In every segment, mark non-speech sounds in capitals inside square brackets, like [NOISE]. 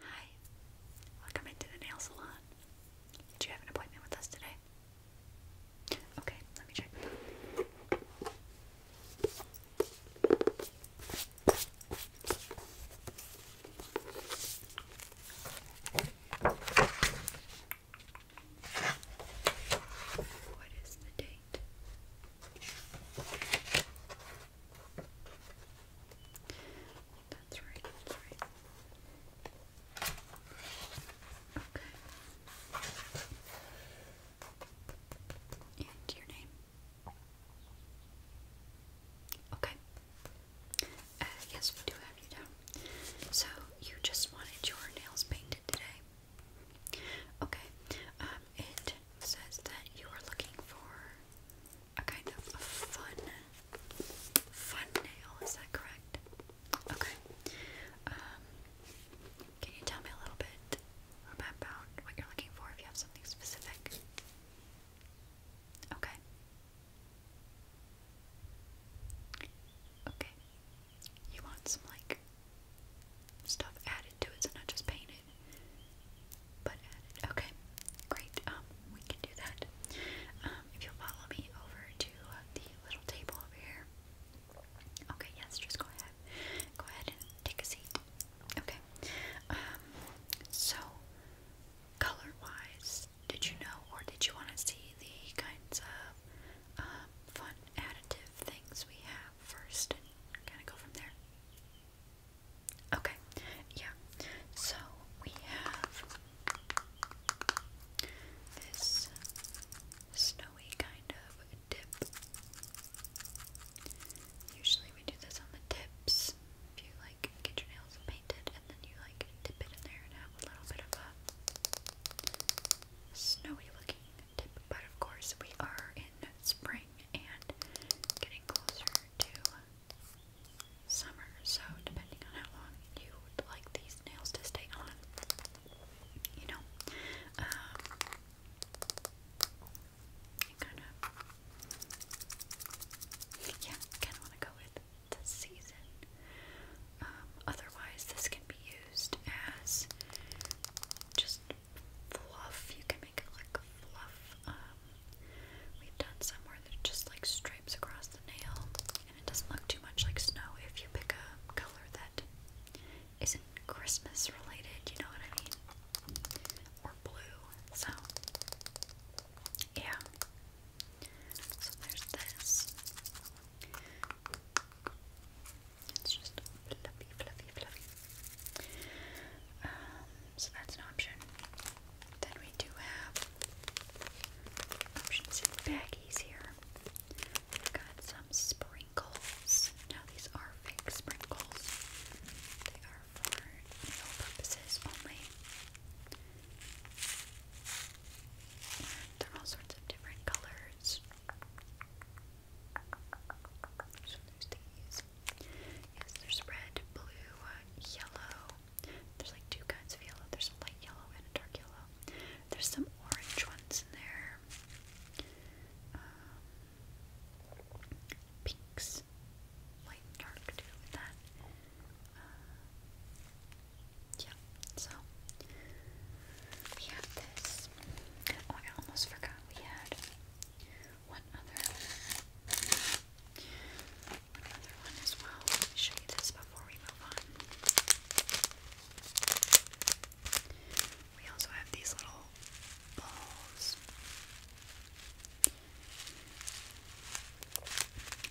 Hi, welcome into the nail salon. Did you have an appointment with us today? Okay, let me check. What is the date? That's right, that's right. Okay. And your name? Okay. Uh, yes, we do have you down. So, you just wanted your nails painted today? Okay. Um, it says that you are looking for a kind of fun, fun nail. Is that correct? Okay. Um, can you tell me a little bit about what you're looking for? If you have something specific. Okay. Okay. You want some like stuff added to it, so not just painted. But Okay, great. Um, we can do that. Um, if you'll follow me over to the little table over here. Okay, yes, just go ahead. Go ahead and take a seat. Okay. Um, so, color wise, did you know or did you want to see the kinds of um, fun additive things we have first and kind of go from there? Okay, yeah. So we have this snowy kind of dip. Usually we do this on the tips. If you like get your nails painted and then you like dip it in there and have a little bit of a snowy looking tip. But of course we are in spring and getting closer to summer, so depending on how long you would like these nails to stay on, you know, um, yeah, kind of want to go with the season. Um, otherwise, this can be used as just fluff. You can make it like fluff. Uh, um, we've done some where just like stripes across the nail, and it doesn't look too much like snow if you pick a color that isn't Christmas related, you know what I mean? Or blue, so yeah. So there's this. It's just fluffy, fluffy, fluffy. Um, so that's an option. Then we do have options in baggies here. got some sprinkles. Now these are fake sprinkles. They are for meal purposes only. they're all sorts of different colors. So there's these. Yes, there's red, blue, uh, yellow, there's like two kinds of yellow. There's a light yellow and a dark yellow. There's some orange ones in there. Um, pinks. Light and dark too with that. Uh, yeah, so we have this. Oh, I almost forgot we had one other another one as well. Let me show you this before we move on. We also have these little balls.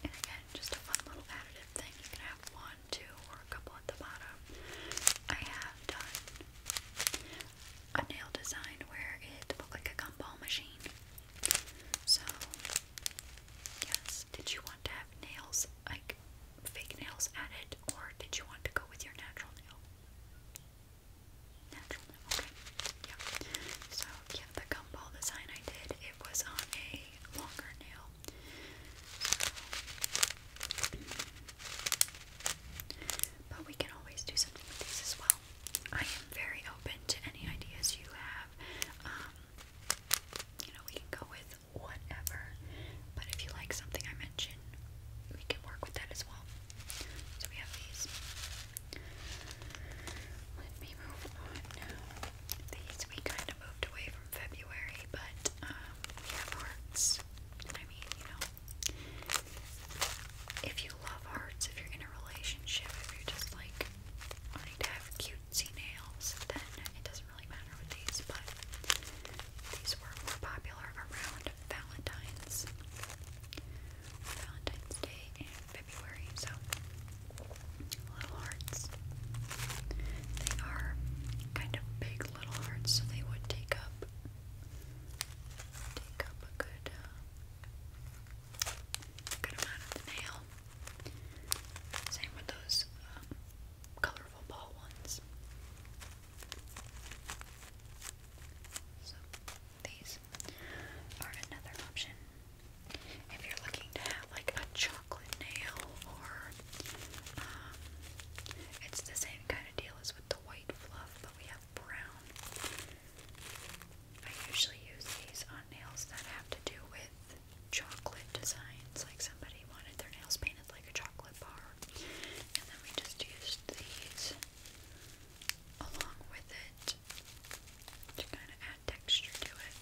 And again, just a fun little additive thing. You can have one, two, or a couple at the bottom. I have done a nail design where it looked like a gumball machine. So, yes. Did you want to have nails, like fake nails added, or did you want to go with your natural nail? Natural nail, okay. Yeah. So, yeah, the gumball design I did, it was on a longer nail. but we can always do something with these as well. I am very open to any ideas you have. Um, you know, we can go with whatever, but if you like something I mention, we can work with that as well. So we have these. Let me move on These we kind of moved away from February, but um, we have hearts. I mean, you know, if you love hearts, if you're in a relationship, if you're just like like wanting to have cutesy nails, then it doesn't really matter with these, but these were more popular around Valentine's. Valentine's Day in February, so little hearts. They are kind of big little hearts, so they would take up take up a good uh, good amount of the nail. Same with those um, colorful ball ones. So these are another option. If you're looking to have like a chocolate nail or um, it's the same kind of deal as with the white fluff, but we have brown. I usually use these on nails that have to do with chocolate designs, like somebody wanted their nails painted like a chocolate bar. And then we just used these along with it to kind of add texture to it.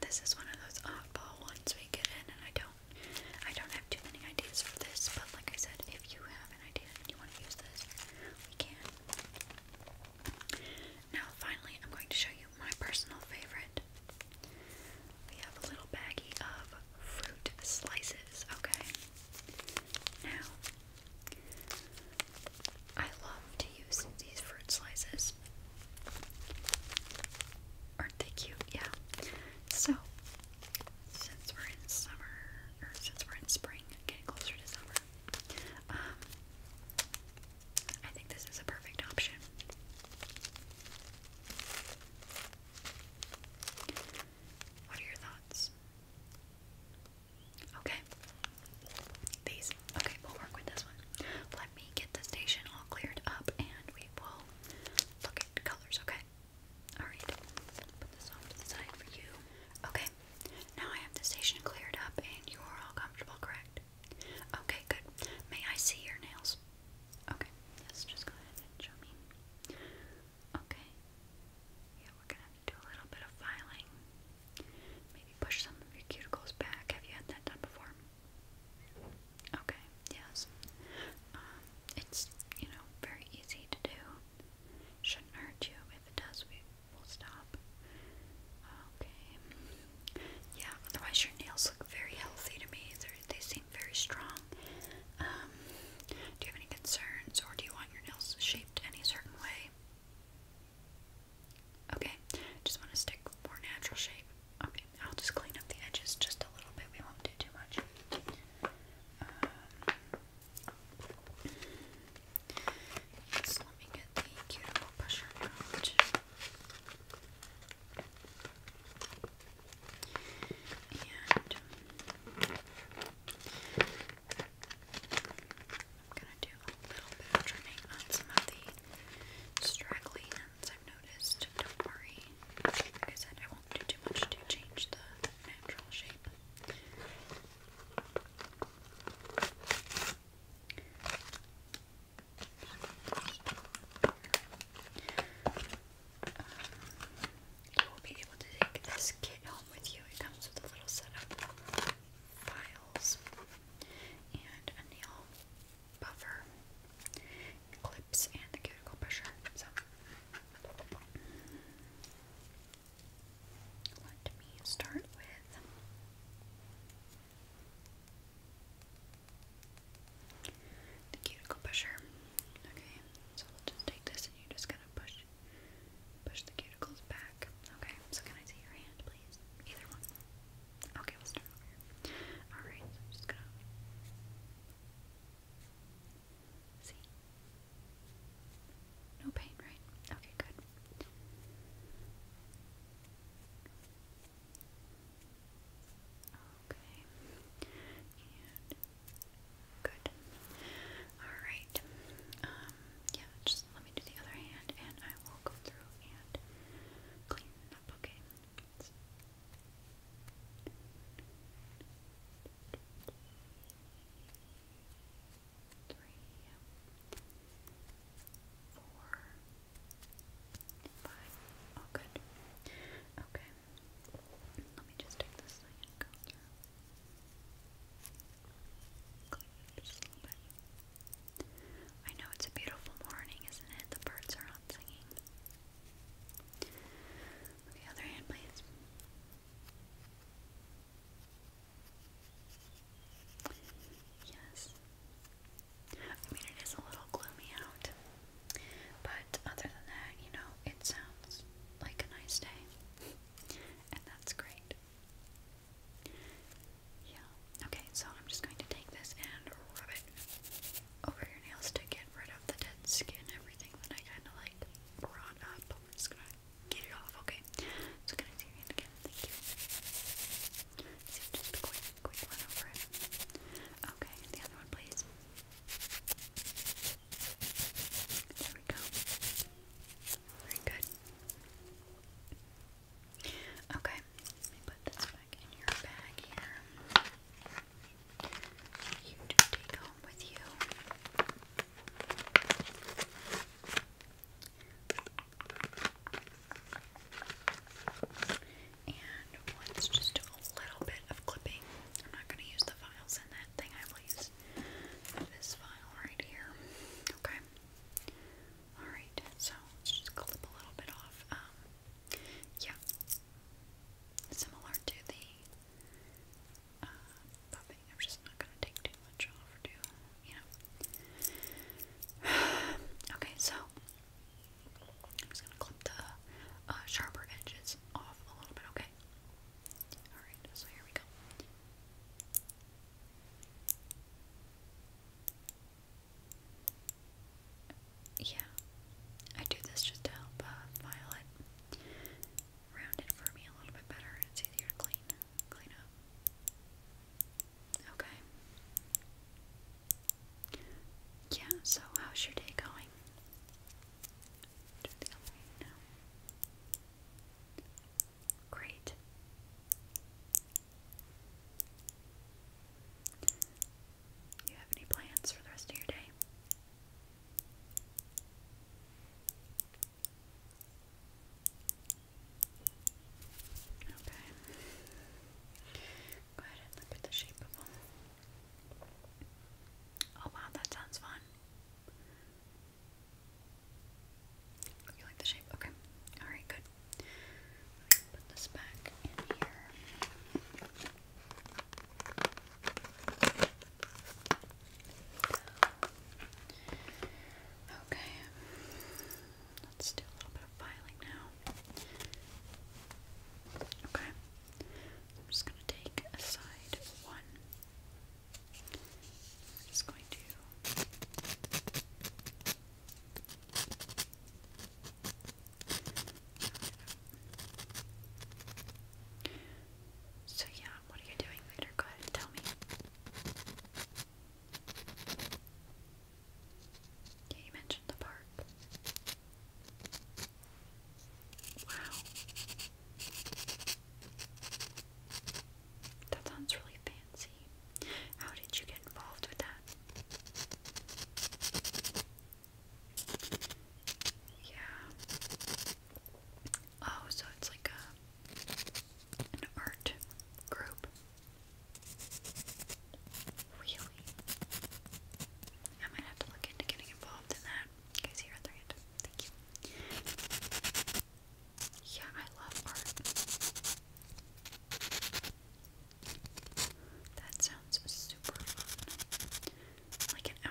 this is one of those oddball ones we get in, and I don't I don't have too many ideas for this, but like I said, if you have an idea and you want to use this, we can. Now, finally, I'm going to show you my personal favorite. We have a little baggie of fruit slices, okay? Now, I love to use these fruit slices Aren't they cute? Yeah. So, since we're in summer, or since we're in spring, getting closer to summer, um, I think this is a perfect option. What are your thoughts? Okay. These. Okay, we'll work with this one. Let me get the station all cleared up and we will look at colors, okay? Alright, put this off to the side for you. Okay, now I have the station cleared up and you are all comfortable, correct? Okay, good. May I see your nails? Okay, let just go ahead and show me. Okay, yeah, we're going to do a little bit of filing. Maybe push some of your cuticles back. Have you had that done before? Okay, yes. Um, it's, you know, very easy to do. Shouldn't hurt you. If it does, we will stop. Okay. Yeah, otherwise your nails look very healthy to me. they they seem very strong. Um, do you have any concerns or do you want your nails shaped any certain way? Okay, just want to stick more natural shape. Okay, I'll just clean up the edges just a little bit. We won't do too much. Um, let me get the cuticle pusher out. And do a little bit of some of the straggly ends, i Don't worry. Like I said, I won't do too much to change the natural shape. Um, you will be able to take this kit home with you. It comes with a little set files and a nail buffer clips and the cuticle pusher. So let me start with the cuticle pusher. Okay, so we'll just take this and you're just gonna push push the cuticles back. Okay, so can I see your hand please? Either one. Okay, we'll start over here. Alright, so I'm just gonna See? No pain, right? Okay, good. Okay. good. Alright. Um, yeah, just let me do the other hand and I will go through and clean up, okay? three, four, five. Oh, good. Okay. Let me just take this thing and go just a little bit. I know it's a beautiful morning, isn't it? The birds are out singing. Okay, other hand, please. Yes. I mean, it is a little gloomy out, but other than that, you know, it sounds like a nice day, and that's great. Yeah. Okay, so I'm just going to take this and rub it over your nails to get rid of the dead skin, everything that I kind of like brought up. I'm just gonna get it off, okay? So, gonna do Thank you. quick, quick one over it. Okay, the other one, please. There we go. Very good. Okay, let me put this back in your bag here let's just do a little bit of clipping. I'm not going to use the files in that thing, I will use this file right here. Okay? Alright, so let's just clip a little bit off. Um, yeah, similar to the uh, I'm just not gonna take too much off or do, you know. [SIGHS] okay, so I'm just gonna clip the uh, sharper edges off a little bit, okay? Alright, so here we go yeah, I do this just to help uh, Violet round for me a little bit better. It's easier to clean, clean up. Okay. Yeah, so how's your day going? Just now. Great. you have any plans for the rest of your day? Okay. Go ahead and look at the shape of them. Oh wow, that sounds fun. You like the shape? Okay. Alright, good. put this back in here. Okay, let's do a little bit of filing now. Okay, I'm just going to take aside one. I'm just going to. So, yeah, what are you doing later? Go ahead and tell me. Yeah, you mentioned the park. Wow. That sounds really fancy. How did you get involved with that? Yeah. Oh, so it's like a an art group. Really? I might have to look into getting involved in that. Guys, here at Thank you. Yeah, I love art. That sounds super Like an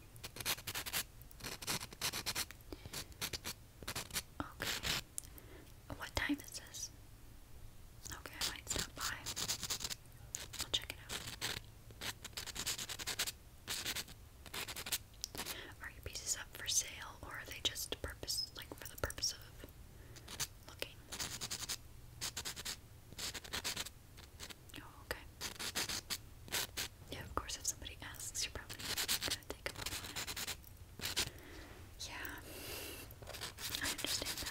Okay. What time is this? Okay, I might stop by. I'll check it out. Are your pieces up for sale or are they just purpose like for the purpose of looking? Oh, okay. Yeah, of course, if somebody asks, you're probably gonna take a on. Yeah, I understand that.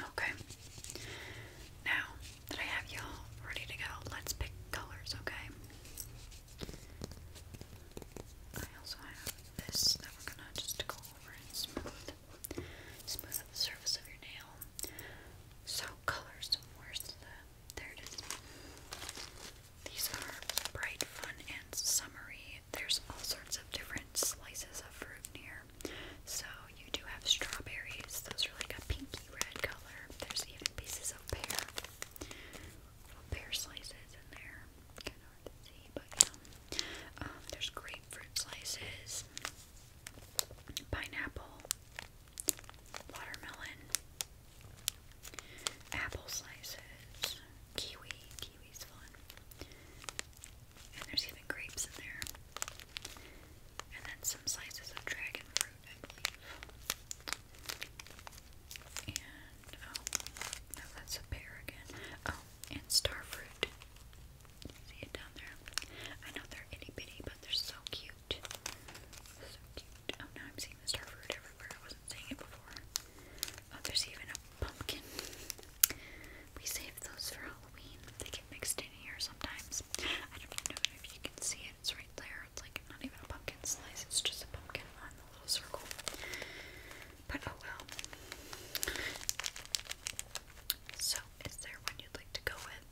Okay. Now that I have y'all ready to go, let's pick colors, okay? I also have this that we're gonna just go over and smooth. Smooth the surface of your nail. So colors, where's there it is. These are bright, fun, and summery. There's all sorts of different slices of fruit here. So you do have strawberries. Those are like a pinky red color. There's even pieces of pear. pear slices in there. Kind of hard see, but yeah. Um, there's grapefruit slices. Pineapple watermelon, apple slices, kiwi. Kiwi's fun. And there's even grapes in there. And then some slices of dragon fruit, I believe. And, oh, that's a pear again. Oh, and star fruit. See it down there? I know they're itty bitty, but they're so cute. So cute. Oh, now I'm seeing the star fruit I wasn't seeing it before. Oh, there's even a pumpkin. We saved those for Halloween. They get mixed in here sometimes. I don't know if you can see it. It's right there. It's like not even a pumpkin slice. It's just a pumpkin on the little circle. But oh well. So, is there one you'd like to go with?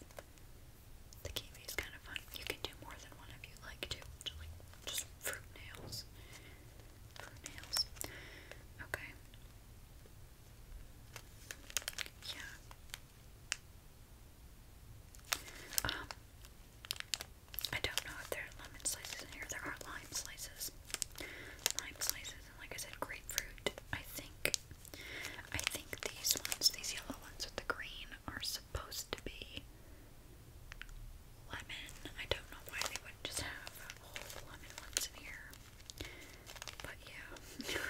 The kiwi is kind of fun. You can do more than one if you like to. Just like just fruit nails. Fruit nails. Okay. Yeah. Um I don't know if there are lemon slices in here. There are lime slices. Lime slices and like I said grapefruit. I think I think these ones, these yellow ones with the green are supposed to be lemon. I don't know why they would just have whole lemon ones in here. But yeah. [LAUGHS]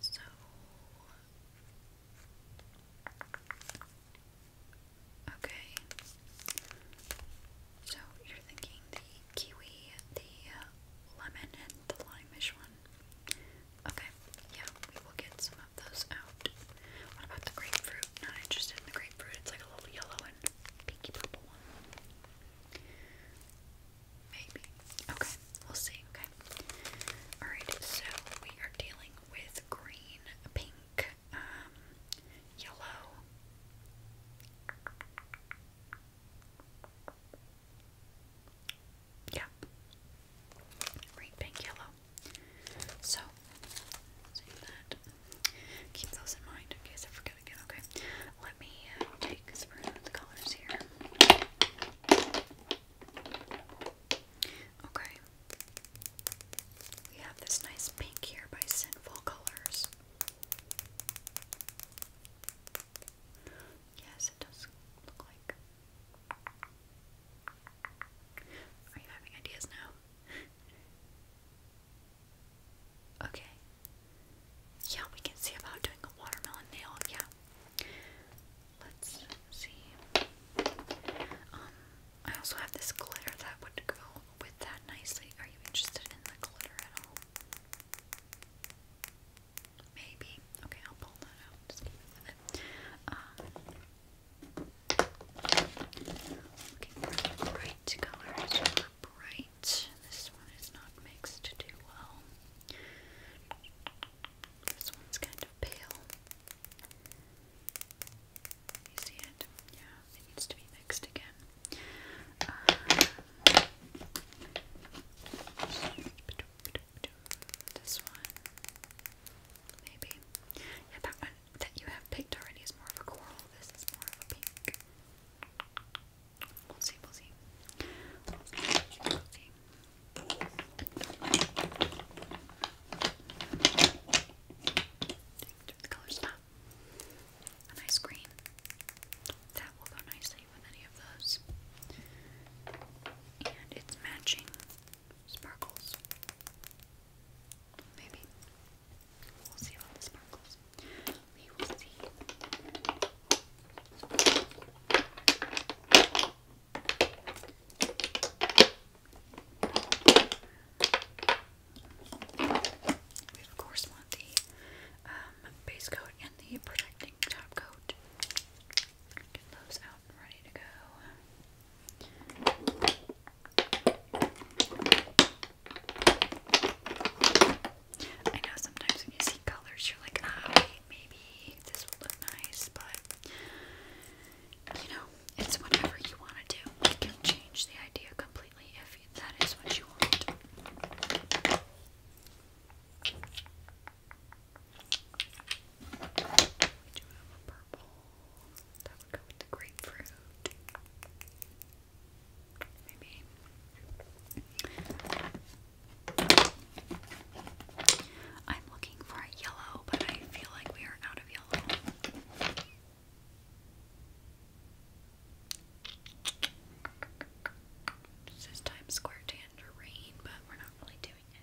so Okay. So you're thinking the kiwi, the uh, lemon, and the limeish one. Okay, yeah, we will get some of those out. What about the grapefruit? Not interested in the grapefruit. It's like a little yellow and pinky purple one. Maybe. Okay, we'll see. Okay. Alright, so we are dealing with green, pink, um, yellow. Yeah. Right pink yellow. So Keep those in mind in case I forget again, okay? Let me uh, take a spray of the colors here. Okay. We have this nice pink here by Sinful Colors. Yes, it does look like. Are you having ideas now? okay. Yeah, we can see about doing a watermelon nail. Yeah. Let's see. Um, I also have this glitter that would go with that nicely. Are you interested in the glitter at all? Maybe. Okay, I'll pull that out. Just keep it with it. Um, bright colors bright. This one is not mixed too well. This one's kind of pale. You see it? Yeah, it needs to be mixed again. Uh, this one, maybe. Yeah, that one that you have picked already is more of a coral. This is more of a pink. We'll see. We'll see. We'll see. we The color spot. A ah, nice green. That will go nicely with any of those. And it's matching sparkles. Maybe. We'll see about the sparkles. We will see. We of course want the um, base coat and the protecting top coat. I know sometimes when you see colors, you're like, ah, wait, maybe this will look nice, but you know, it's whatever you want to do. You can change the idea completely if that is what you want. We do I'm looking for a yellow, but I feel like we are out of yellow. This Times Square Tangerine, but we're not really doing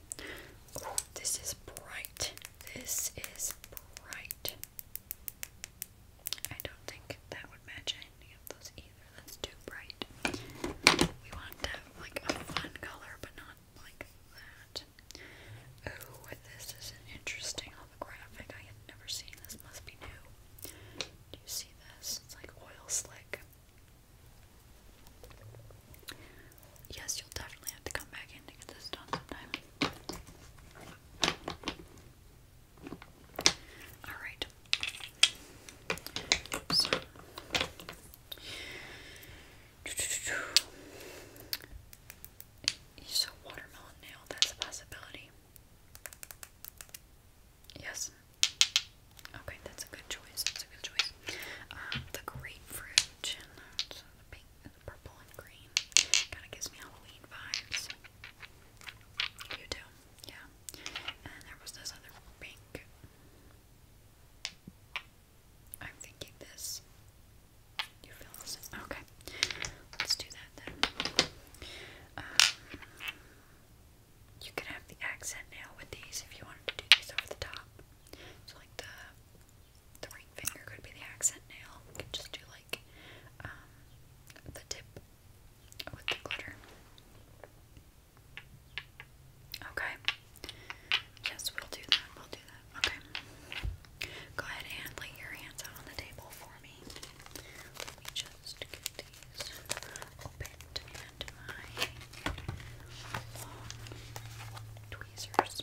this is bright. This is bright. I don't think that would match any of those either. That's too bright. We want to have like a fun color, but not like that. Oh, this is an interesting holographic. I have never seen this. Must be new. Do you see this? It's like oil slick. Yes, you'll definitely have to come back in to get this done sometime. Alright. So. watermelon nail, that's a possibility. Yes. Okay, that's a good choice. That's a good choice. Um, the grapefruit and the, pink and the purple and green. Kinda gives me Halloween vibes. You do, yeah. And there was this other pink. I'm thinking this. You feel this? Okay. Let's do that then. Um, you could have the accent now with these if you wanted to do these over the top. So like the the ring finger could be the accent nail. could just do like um, the tip with the glitter. Okay. Yes, we'll do that. We'll do that. Okay. Go ahead and lay your hands out on the table for me. Let just get these opened and my tweezers.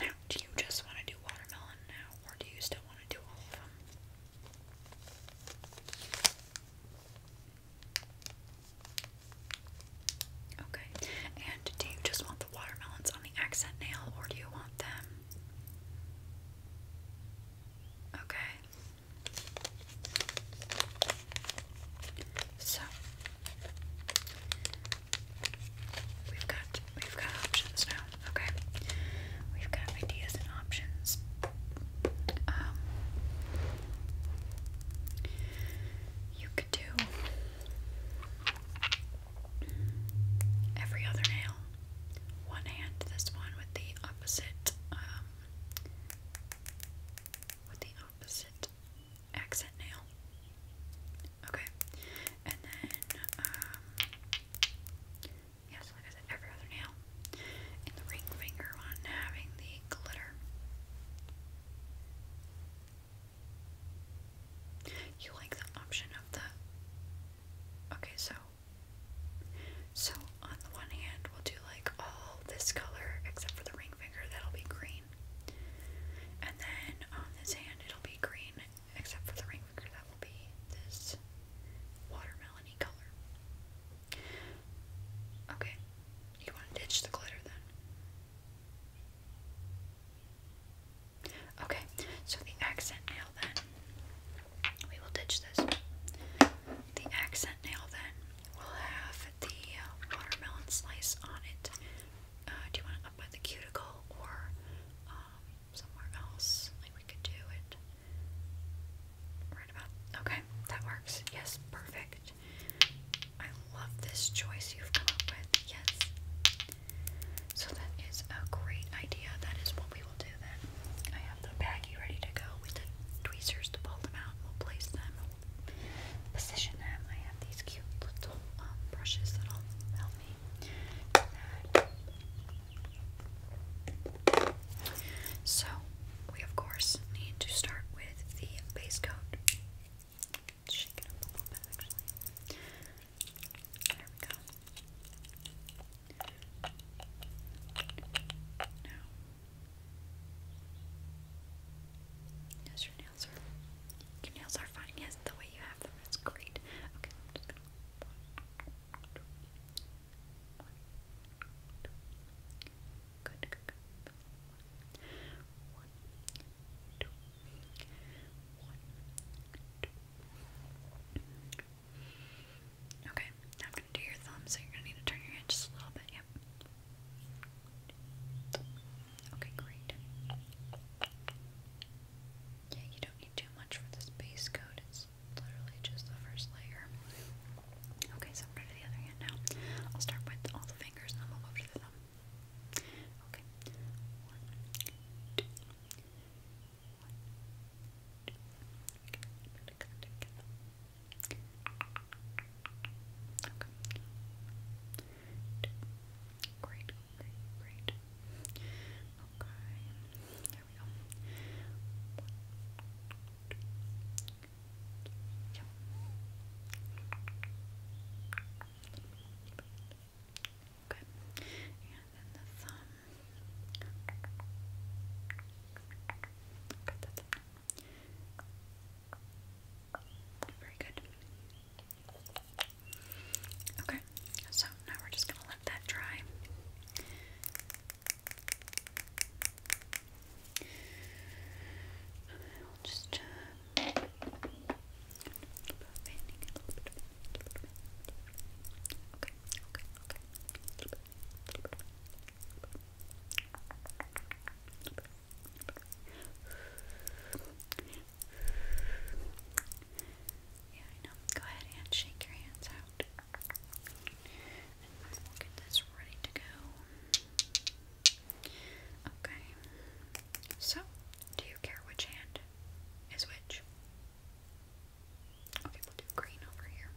Now, do you just want to do watermelon now, or do you still want to do all of them? Okay, and do you just want the watermelons on the accent nail, or do you want them? Okay. So, We've got we've got options now. Okay, we've got ideas and options. Um, you could do every other nail. One hand, this one with the opposite. Um, with the opposite accent nail. Okay, and then, um, yes, like I said, every other nail. And the ring finger one having the glitter. You like the option of the. Okay, so. So, on the one hand, we'll do like all this color except for the ring finger, that'll be green. And then on this hand, it'll be green, except for the ring finger, that will be this watermelony color. Okay, you want to ditch the glitter then? Okay, so the accent nail then, we will ditch this. The accent nail then will have the watermelon slice on it uh, do you want it up by the cuticle or um, somewhere else? Like we could do it right about, okay, that works. Yes, perfect. I love this choice you've come up with, yes. So that is a great idea. That is what we will do then. I have the baggie ready to go with the tweezers to pull them out. We'll place them position them. I have these cute little um, brushes that'll help me So, we of course need to start with the base coat. Shake it up There we go. Now, your nails are your nails are fine. Yes, the way you have them is great. Okay, I'm gonna do your thumb, so you're gonna need to turn your head just a little bit. Yep. Okay, great. Yeah, you don't need too much for this base coat. It's literally just the first layer. Okay, so i the other hand now. I'll start with all the fingers and then we'll to the thumb. Okay. One, two, one, two. Okay. Great, great, great. Okay, there we go. Yep. and then the thumb. Okay, Very good. Okay, so now we're just going to let that dry. just a little bit Okay, yeah, I know. Go ahead and shake your hands out. we'll get this ready to go. Okay. So, do you care which hand is which? Okay, we'll do green over here.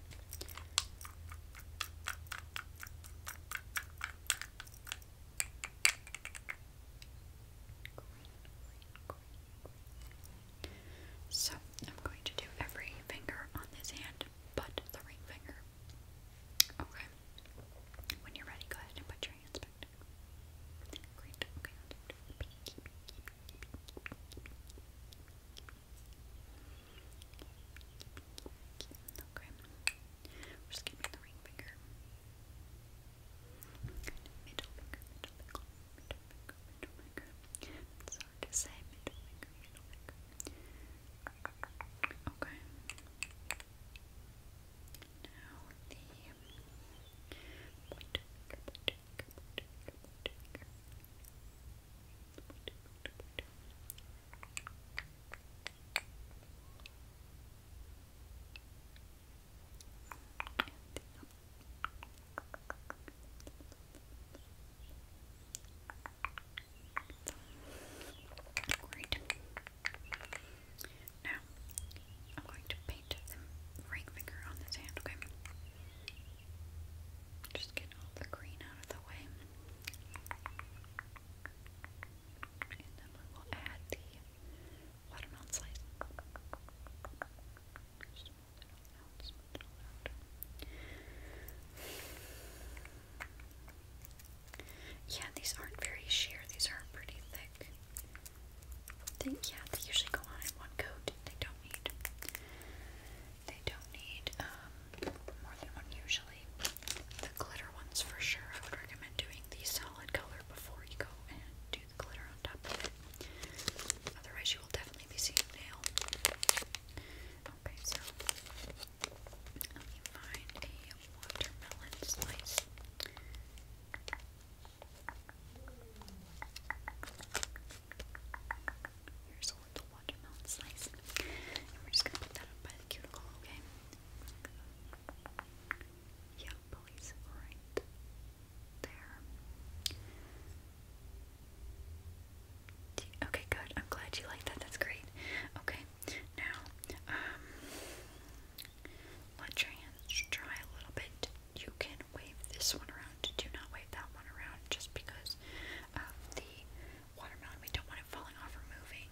So I'm going to do every finger on this hand but the ring finger. Okay. When you're ready, go ahead and put your hands back Great. Okay. just going the ring finger. Middle finger, middle finger, middle middle finger. to say middle finger, middle Okay. Now the Great. Now, I'm going to paint the ring finger on this hand, okay? Just get all the green out of the way. And then we will add the yeah, these aren't very sheer. These are pretty thick. They, yeah, they usually go on one coat. They don't need. They don't need um, more than one usually. The glitter ones for sure. I would recommend doing the solid color before you go and do Otherwise, you will definitely be seeing nail. let me find a watermelon slice. Here's a little watermelon slice. And we're just gonna put that up by the cuticle, Okay. Yellow police right there. Okay, good. I'm glad you like that. That's great. Okay, now, um, let your hands dry a little bit. You can wave this one around. Do not wave that one around just because of the watermelon. We don't want it falling off or moving.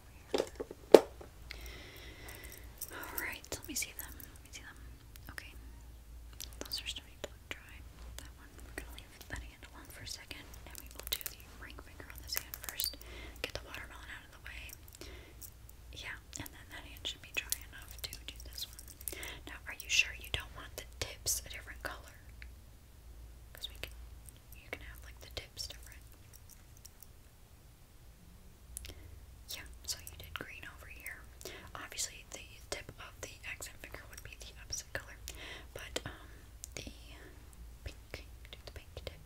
All right, let me see them. Let me see them. Okay, those are starting to look dry. That one, we're gonna leave that hand alone for a second, and we will do the ring finger on this hand first. Get the watermelon out of the way. Yeah, and then that hand should be dry enough to do this one. Now, are you sure you don't want the tips a different color? Because we can, you can have like the tips different. Yeah, so you did green over here. Obviously, the tip of the accent finger would be the opposite color, but um, the pink, the pink tip,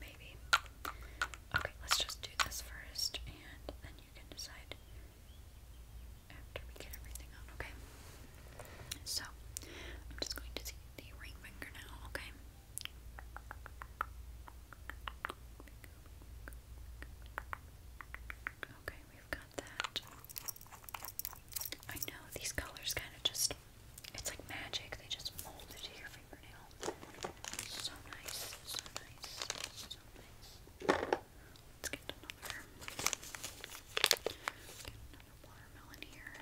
maybe. Okay, let's just do this first, and then you can decide after we get everything on, okay? So, I'm just going to see the ring finger now, okay? Okay, we've got that. I know these colors kind of just, it's like magic, they just mold into your fingernail. So nice, so nice, so nice. Let's Get another watermelon here.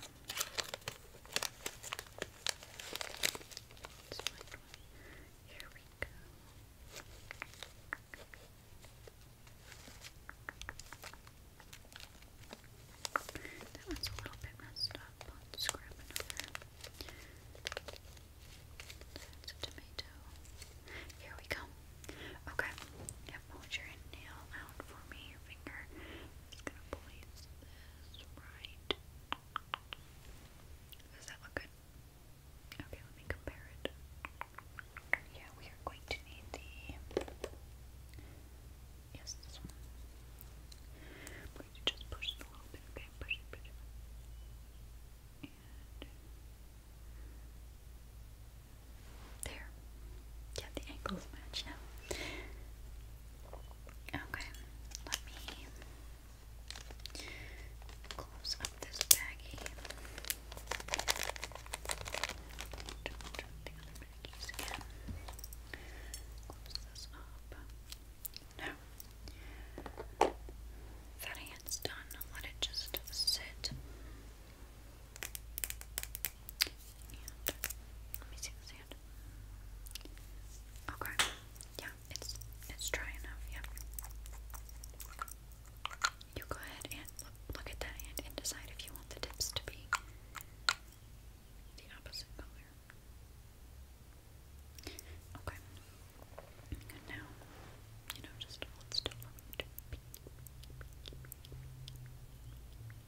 Here we go. That one's a little bit messed up. Let's grab another. a tomato. Here we go. Okay. Now hold your nail out for me, your finger. i gonna place this right. Does that look good? Okay, let me compare it. Yeah, we are going to need the Yes, this one. i just push it a little bit, okay? Push it, push it. There. Yeah, the ankles match now. Okay, let me close up this baggie. Think I'm gonna use again. Close this up. Now that hand's done, let it just sit let me see this hand. Okay. Yeah, it's it's dry enough, yeah. You go ahead and look, at that hand and decide if you want the tips to be the opposite color. Okay. now, you know, just hold still.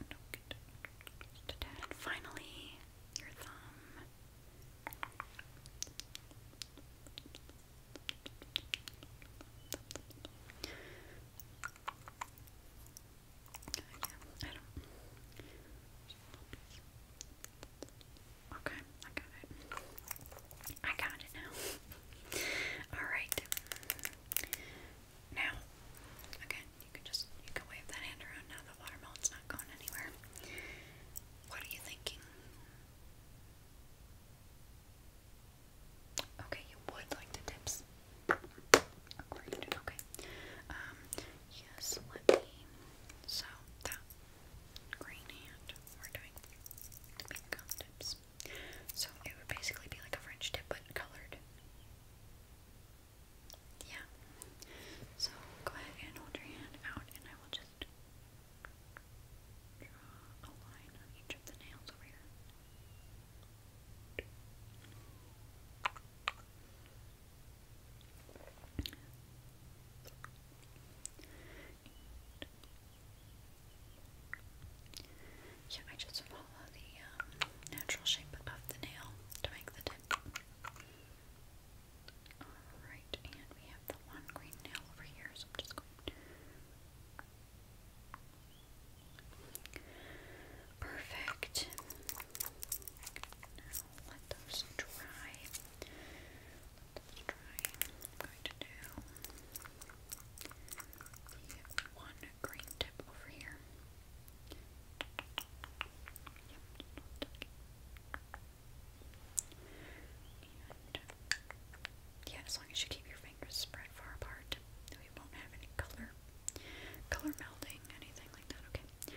And get Finally, your thumb. Okay, I got it. I got it now. Alright. Now, again, you can just you can wave that hand around now. The watermelon's not going anywhere. What are you thinking? Okay, you would like the tips. Okay. Um. Yes. Let me. So that green hand. We're doing the pink tips. So it would basically be like a French tip but colored. Yeah. So go ahead and hold your hand out and I will just draw a line on each of the nails over here. Yeah, I just follow the um, natural shape of the nail to make the tip. Alright, and we have the one green nail over here, so just going Perfect. Now let those dry. Let those dry. I'm going to do yeah, as long as you keep your fingers spread far apart, we won't have any color, color melding, anything like that. Okay.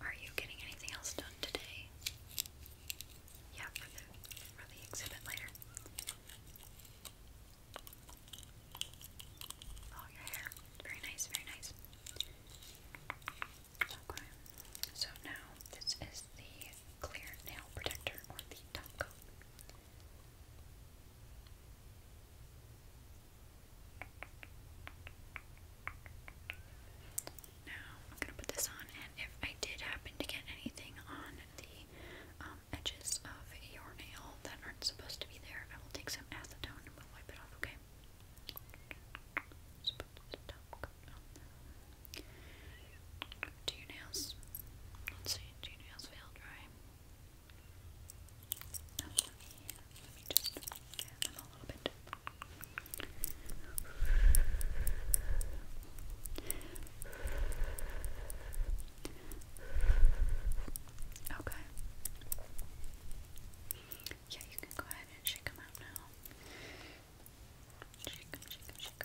Are you getting anything else done today? Yeah, for the exhibit later. Oh, your hair. Very nice, very nice. So now this is the clear nail protector or the top coat. Now I'm gonna put this on, and if I did happen to get anything on the um, edges of your nail that aren't supposed to be there, I will take some acetone and we'll wipe it off. Okay. Do your nails? Let's see. Do your nails feel dry? Now Okay. Yeah, you can go ahead and shake them out now. Shake shake shake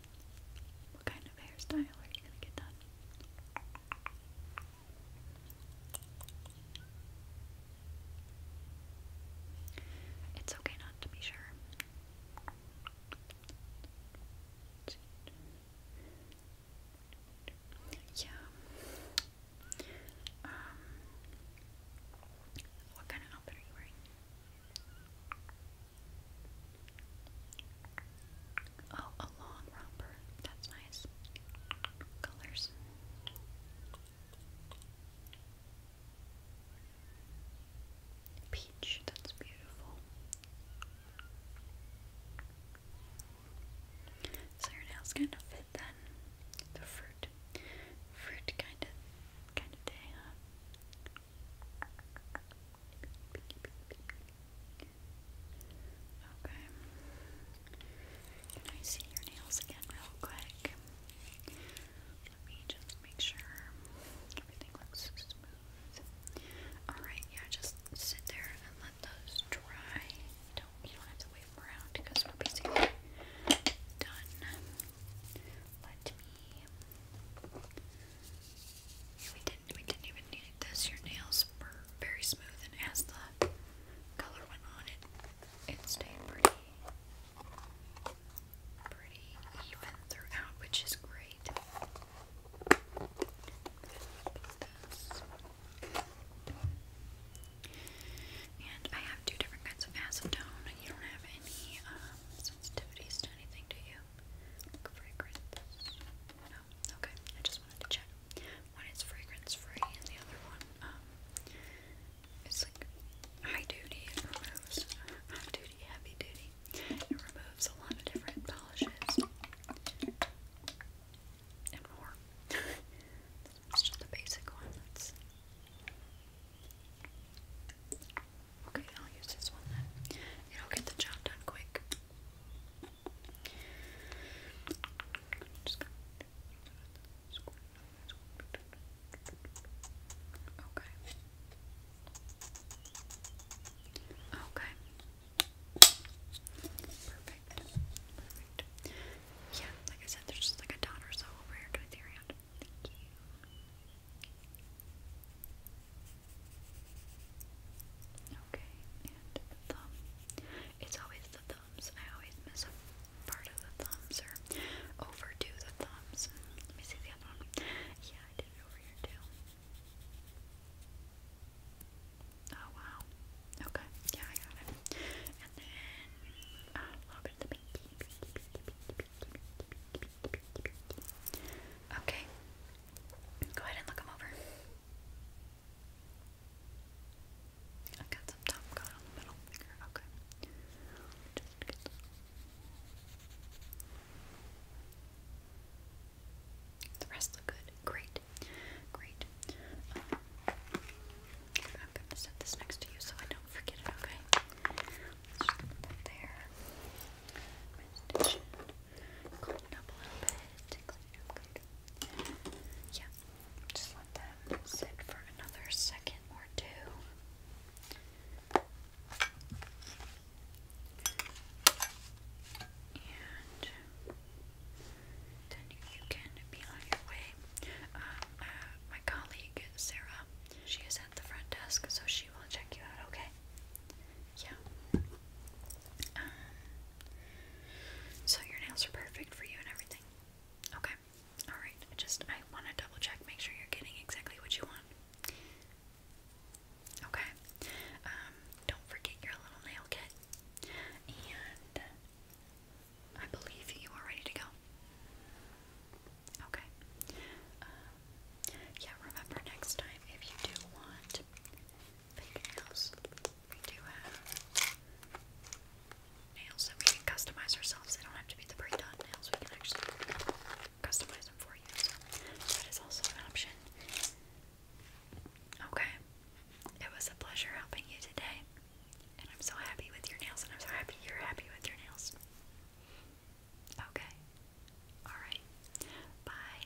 What kind of hairstyle are you going to get done? It's okay not to be sure. Yeah. Um, what kind of outfit are you wearing? Oh, a long romper. That's nice. Colors. Peach. That's beautiful. So your nails kind of fit then. The fruit. Fruit kind of kind of day, Okay. Can I see your nails again, real quick? Let me just make sure everything looks smooth. Alright, yeah, just sit there and let those dry. Don't you don't have to wave around because we're basically done. Let me we didn't. We didn't even need this. Your nails were very smooth, and as the color went on, it it stayed pretty, pretty even throughout, which is great. And I have two different kinds of acetone. You don't have any um, sensitivities to anything, do you? fragrance. Okay, I just wanted to check. One is fragrance free, and the other one, um, it's like high duty. It removes high duty, heavy duty. It removes a lot of different polishes and more. It's [LAUGHS] just the basic one. That's okay. I'll use this one then. It'll get the job done quick. Okay. Okay. Perfect. Perfect. Yeah, like I said, there's just like a dot or so over here to the hand. Thank you. Okay, and thumb. It's always the thumbs. I always miss a part of the thumbs or overdo the thumbs. Let me see the other one. Yeah, I did it over here too. Oh wow. Okay, yeah, I got it. And then a little bit of the pinky. Okay. Go ahead and look them over i got some top coat on the middle finger. Okay. The rest look good. Great. Great. Um, I'm gonna set this next to you so I don't forget it, okay? there just let them sit for another second or two. And then you can be on your way. Um, uh, my colleague, Sarah, she is at the front desk, so she will check you out, okay? Yeah. Um, so your nails are perfect for you and everything. Okay. Alright. just I wanna double check, make sure you're getting exactly what you want. Okay. Um, don't forget your little nail kit. And I believe you are ready to go. Okay. Um, yeah, remember next time if you do want fingernails. We do have nails that we can customize ourselves. They don't have to be the pre-done nails. We can actually customize them for you. that is also an option. Okay. It was a pleasure helping you today. And I'm so happy with your nails, and I'm so happy you're happy with your nails. Okay. Alright. Bye.